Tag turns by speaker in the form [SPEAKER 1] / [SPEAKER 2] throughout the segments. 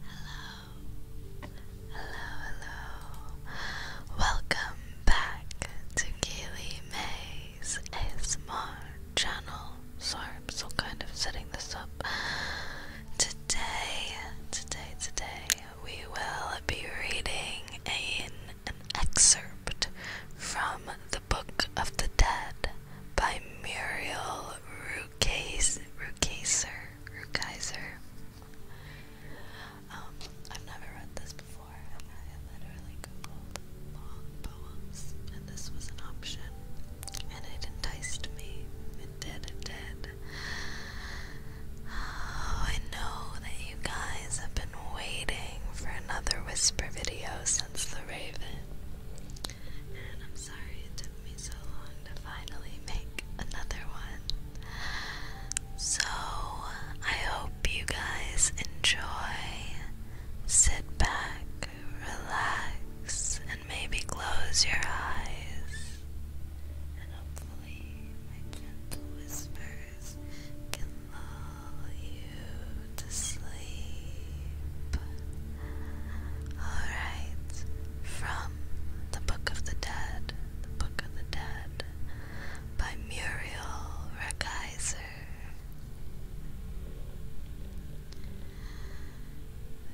[SPEAKER 1] Hello, hello, hello. Welcome back to Kaylee May's ASMR channel. Sorry, I'm still kind of setting this up. Today, today, today, we will be reading an, excerpt from the. Book of the Dead by Muriel Rukeyser. Rukeyser. Um, I've never read this before, I literally googled long poems, and this was an option, and it enticed me. It did, it did. Oh, I know that you guys have been waiting for another whisper video since the raven. And I'm sorry it took me so long to finally make another one. So I hope you guys enjoy. Sit back, relax, and maybe close your eyes. And hopefully, my gentle whispers can lull you to sleep. Alright, from The Book of the Dead, The Book of the Dead by Muriel Rakaiser.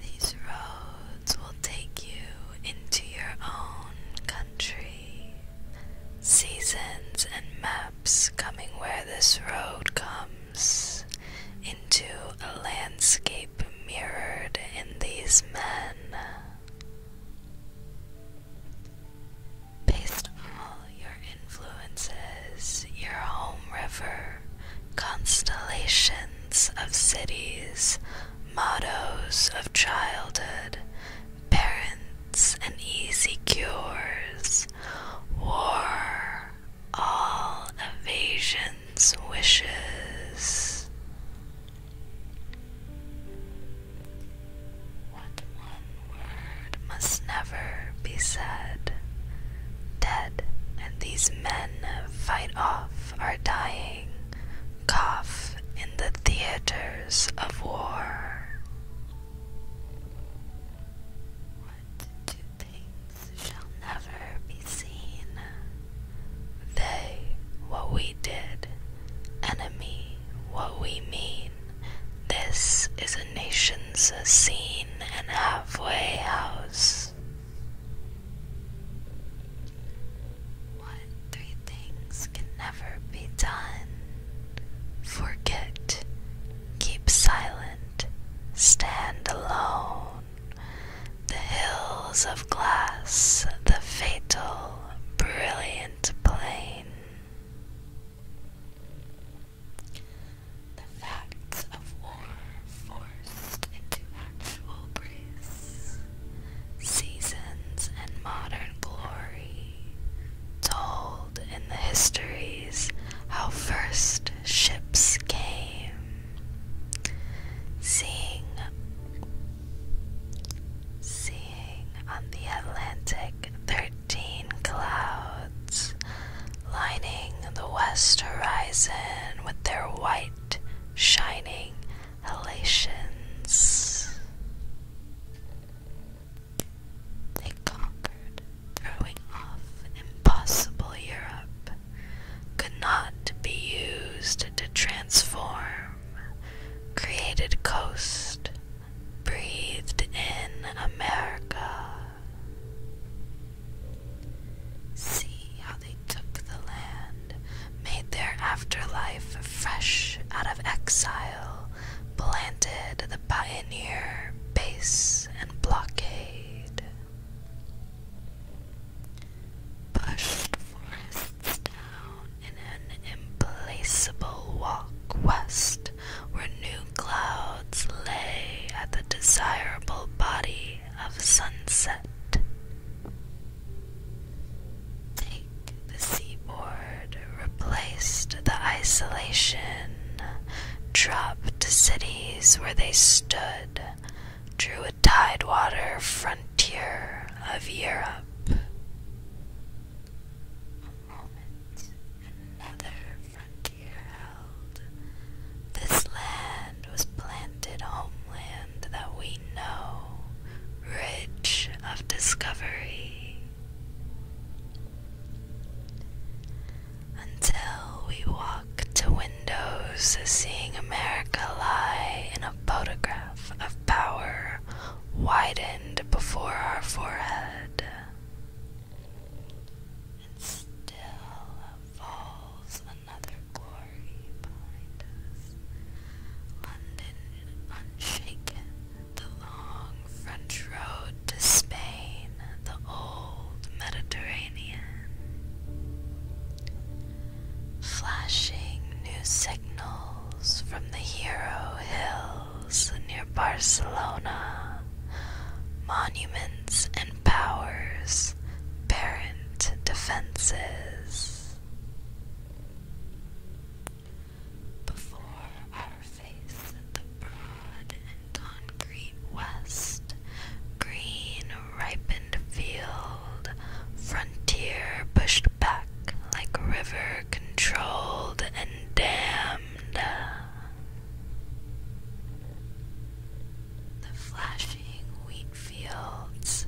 [SPEAKER 1] These roads will take you into your own country. Seasons and maps coming where this road comes into a landscape mirrored in these men. Based on all your influences, your home river, constellations of cities, mottos of childhood, parents and easy cures, war, all evasions wishes. What one word must never be said? Dead, and these men fight off our dying, cough in the theaters of war two things shall never be seen. They what we did, enemy what we mean. This is a nation's scene and halfway house. What three things can never be done? Forget, keep silent, stand alone the hills of glass, the fatal, brilliant plain. The facts of war forced into actual grace, seasons and modern glory, told in the histories how first ships came. Seeing seeing on the Atlantic 13 clouds lining the west horizon with their white shining halations. They conquered, throwing off impossible Europe could not be used to transform, created coast, breathed in America. See how they took the land, made their afterlife fresh out of exile, planted the pioneer base and blockade pushed forests down in an implaceable walk west, where new clouds lay at the desirable body of sunset. Take the seaboard, replaced the isolation, dropped cities where they stood, drew a tidewater frontier of Europe. another frontier held. This land was planted homeland that we know, rich of discovery until we walk to windows seeing America lie in a photograph of power widened before our forehead. And still falls another glory behind us. London unshaken, the long French road to Spain, the old Mediterranean flashing new signals from the Hero Hills near Barcelona, monuments and powers, parent defenses. Before our face, the broad and west, green ripened field, frontier pushed back like river controlled and dammed The flashing wheat fields,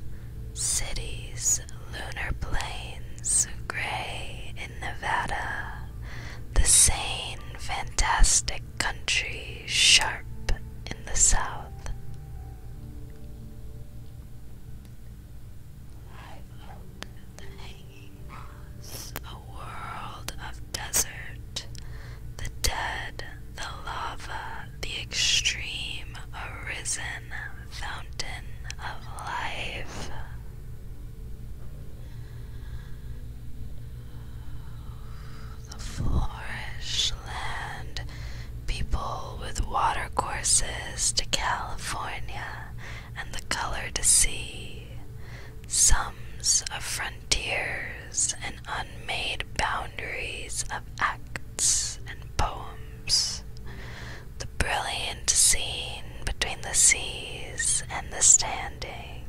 [SPEAKER 1] cities, lunar plains, gray in Nevada, the sane, fantastic country sharp in the south. the hanging moss, a world of desert, the dead, the lava, the extreme, arisen fountain of life the flourish land, people with watercourses to California and the color to see, sums of frontiers and unmade boundaries of acts and poems, the brilliant scene between the seas and the standing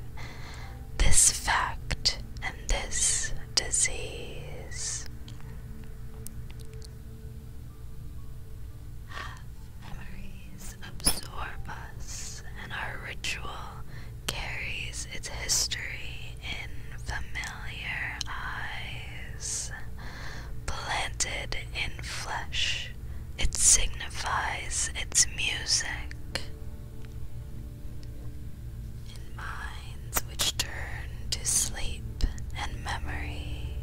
[SPEAKER 1] this fact and this disease. Have memories absorb us, and our ritual carries its history in familiar eyes. Planted in flesh, it signifies its music in minds which turn to sleep and memory,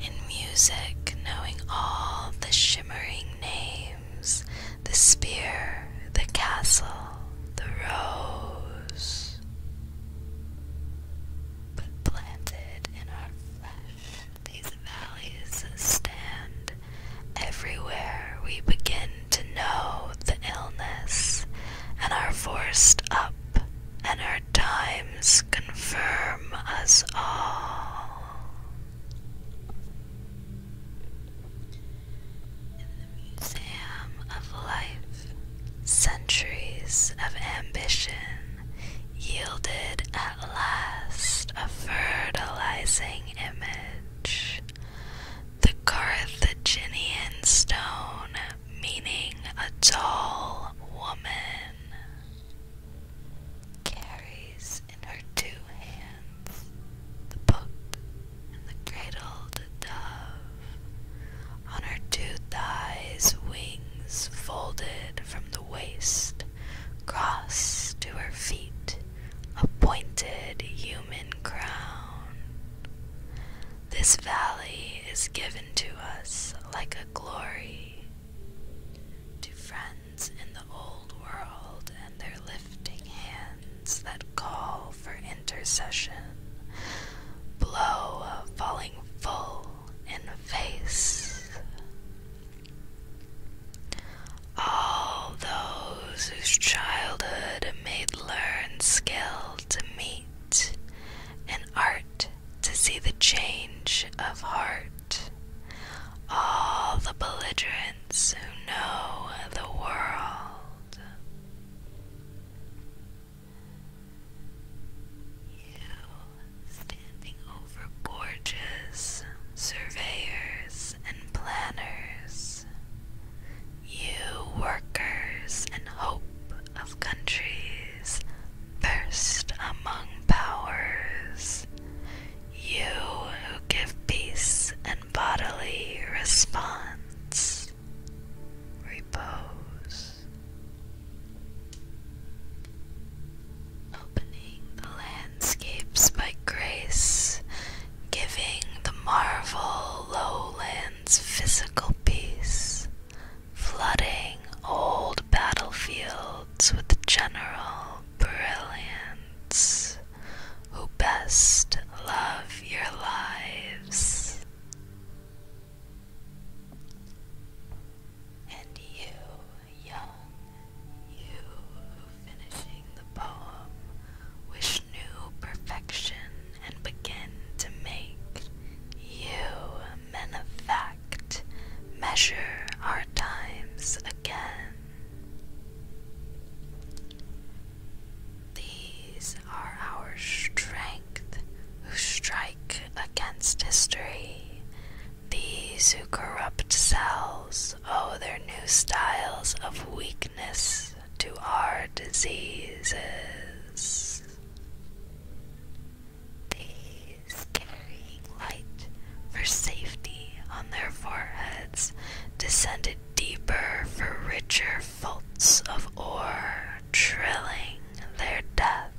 [SPEAKER 1] in music knowing all the shimmering names, the spear, the castle, the rose, but planted in our flesh, these valleys stand everywhere we begin to know the illness and are forced up, and our times confirm us all. In the Museum of Life, centuries of ambition yielded at last a fertilizing image the Carthaginian stone, meaning a tall woman, carries in her two hands the book and the cradled dove. On her two thighs, wings folded from the waist, cross to her feet, a pointed human crown. This valley is given to us like a glory to friends in the old world and their lifting hands that call for intercession. Blow falling full in the face. All those whose childhood made learned skill to meet, in art to see the change of heart. All the belligerents who know the world. You standing over gorges, surveyors, and planners. You workers and hope of countries, first among powers, you who give peace and bodily response, repose. Opening the landscapes by grace, giving the marvel lowland physical peace, flooding old battlefields with general brilliance, who best
[SPEAKER 2] love your lives.
[SPEAKER 1] And you, young, you finishing the poem wish new perfection and begin to make you men of fact measure our times again. These are our strength who strike against history. These who corrupt cells owe oh, their new styles of weakness to our diseases. These carrying light for safety on their foreheads descended deeper for richer faults of ore, trilling their death.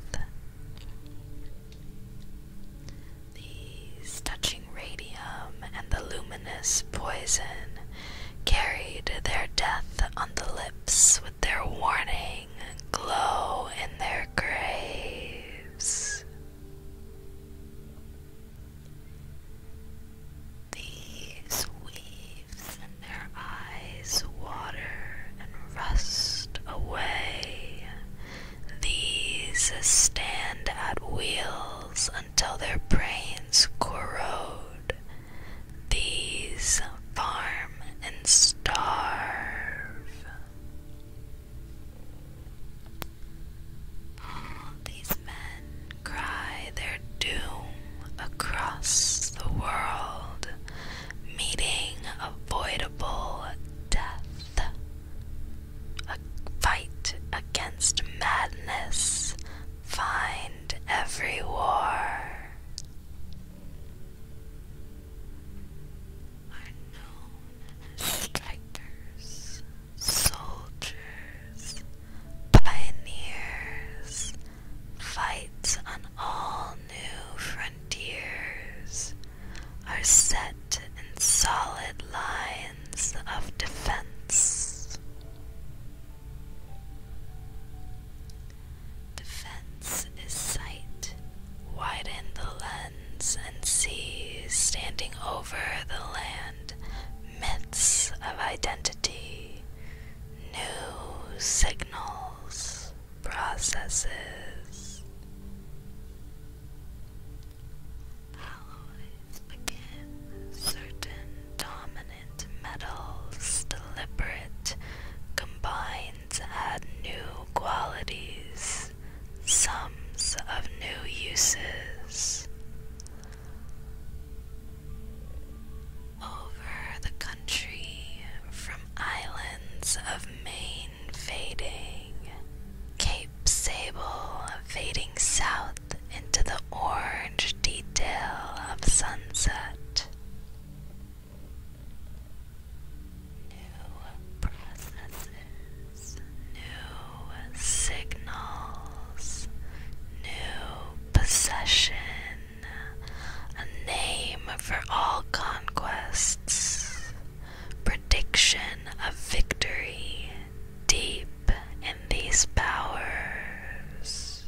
[SPEAKER 1] These touching radium and the luminous poison carried their death on the lips with their warning glow in their graves. These weaves in their eyes water and rust away. These stand at wheels until their brains corrode these farm and starve. All these men cry their doom across the world, meeting avoidable death. A fight against madness, find every war are known as strikers, soldiers, pioneers, fights on all new frontiers, are set in solid lines of defense. Defense is sight. Widen the lens and see, standing over the land, myths of identity, new signals, processes. Alloys became certain dominant metals, deliberate combines add new qualities, sums of new uses. Over the country, from islands of Maine fading, Cape Sable fading south into the orange detail of sunset, New processes, new signals, new possession, a name for all conquests, prediction of victory deep in these powers.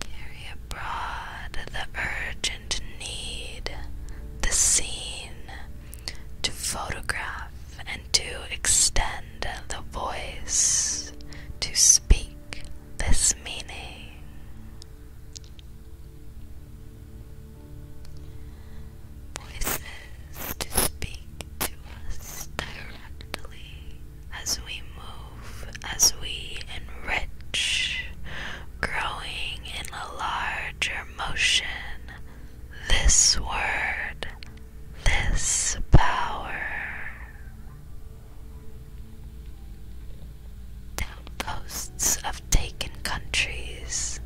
[SPEAKER 1] Carry abroad the urgent need, the scene, to photograph and to extend the voice, to speak this meaning. Voices to speak to us directly as we move, as we enrich, growing in a larger motion. This word, this power. The outposts of taken countries,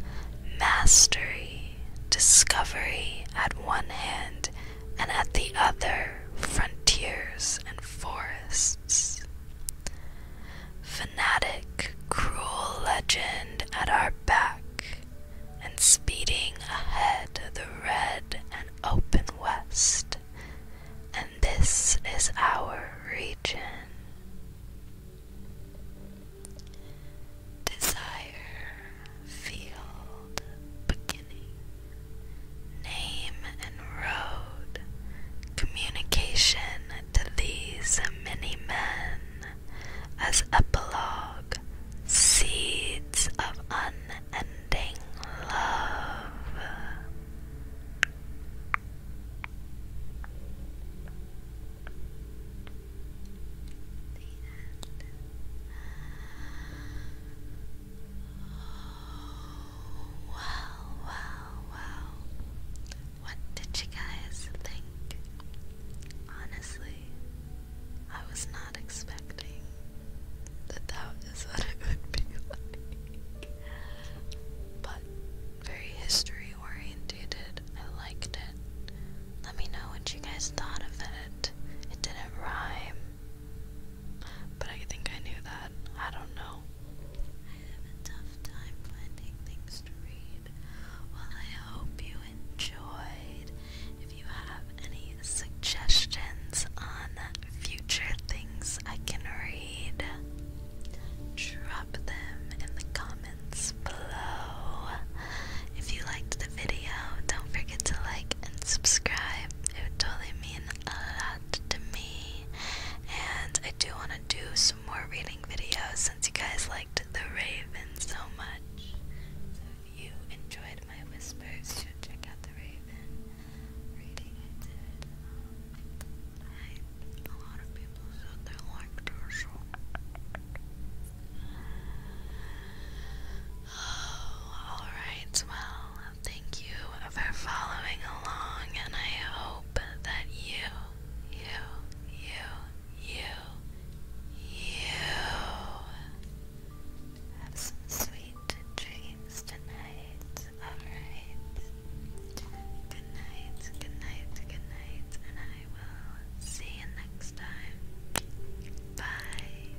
[SPEAKER 1] mastery, discovery at one hand, and at the other frontiers and forests. Fanatic, cruel legend at our back, and speeding ahead the red and open west, and this is our region. Desire field beginning, name and road, communication to these many men, as epilogue, seeds of unending love. Wow, wow, wow. What did you guys think? Honestly, I was not expecting that that is what it would be like. But very history oriented. I liked it. Let me know what you guys thought of it. It didn't rhyme. But I think I knew that. I don't know. I have a tough time finding things to read. Well, I hope you enjoyed. If you have any suggestions on future things I can read, drop them in the comments below. If you liked the video, don't forget to like and subscribe. It would totally mean a lot to me. And I do want to do some more reading videos since you guys liked The Raven so much. So if you enjoyed my whispers, you should check out The Raven reading I did. Um, lot of people said they liked her, Oh, alright, well, thank you for following along, and I hope that you, you, you, you, you have some sweet dreams tonight. Alright. Good night, good night, good night, and I will see you next time. Bye.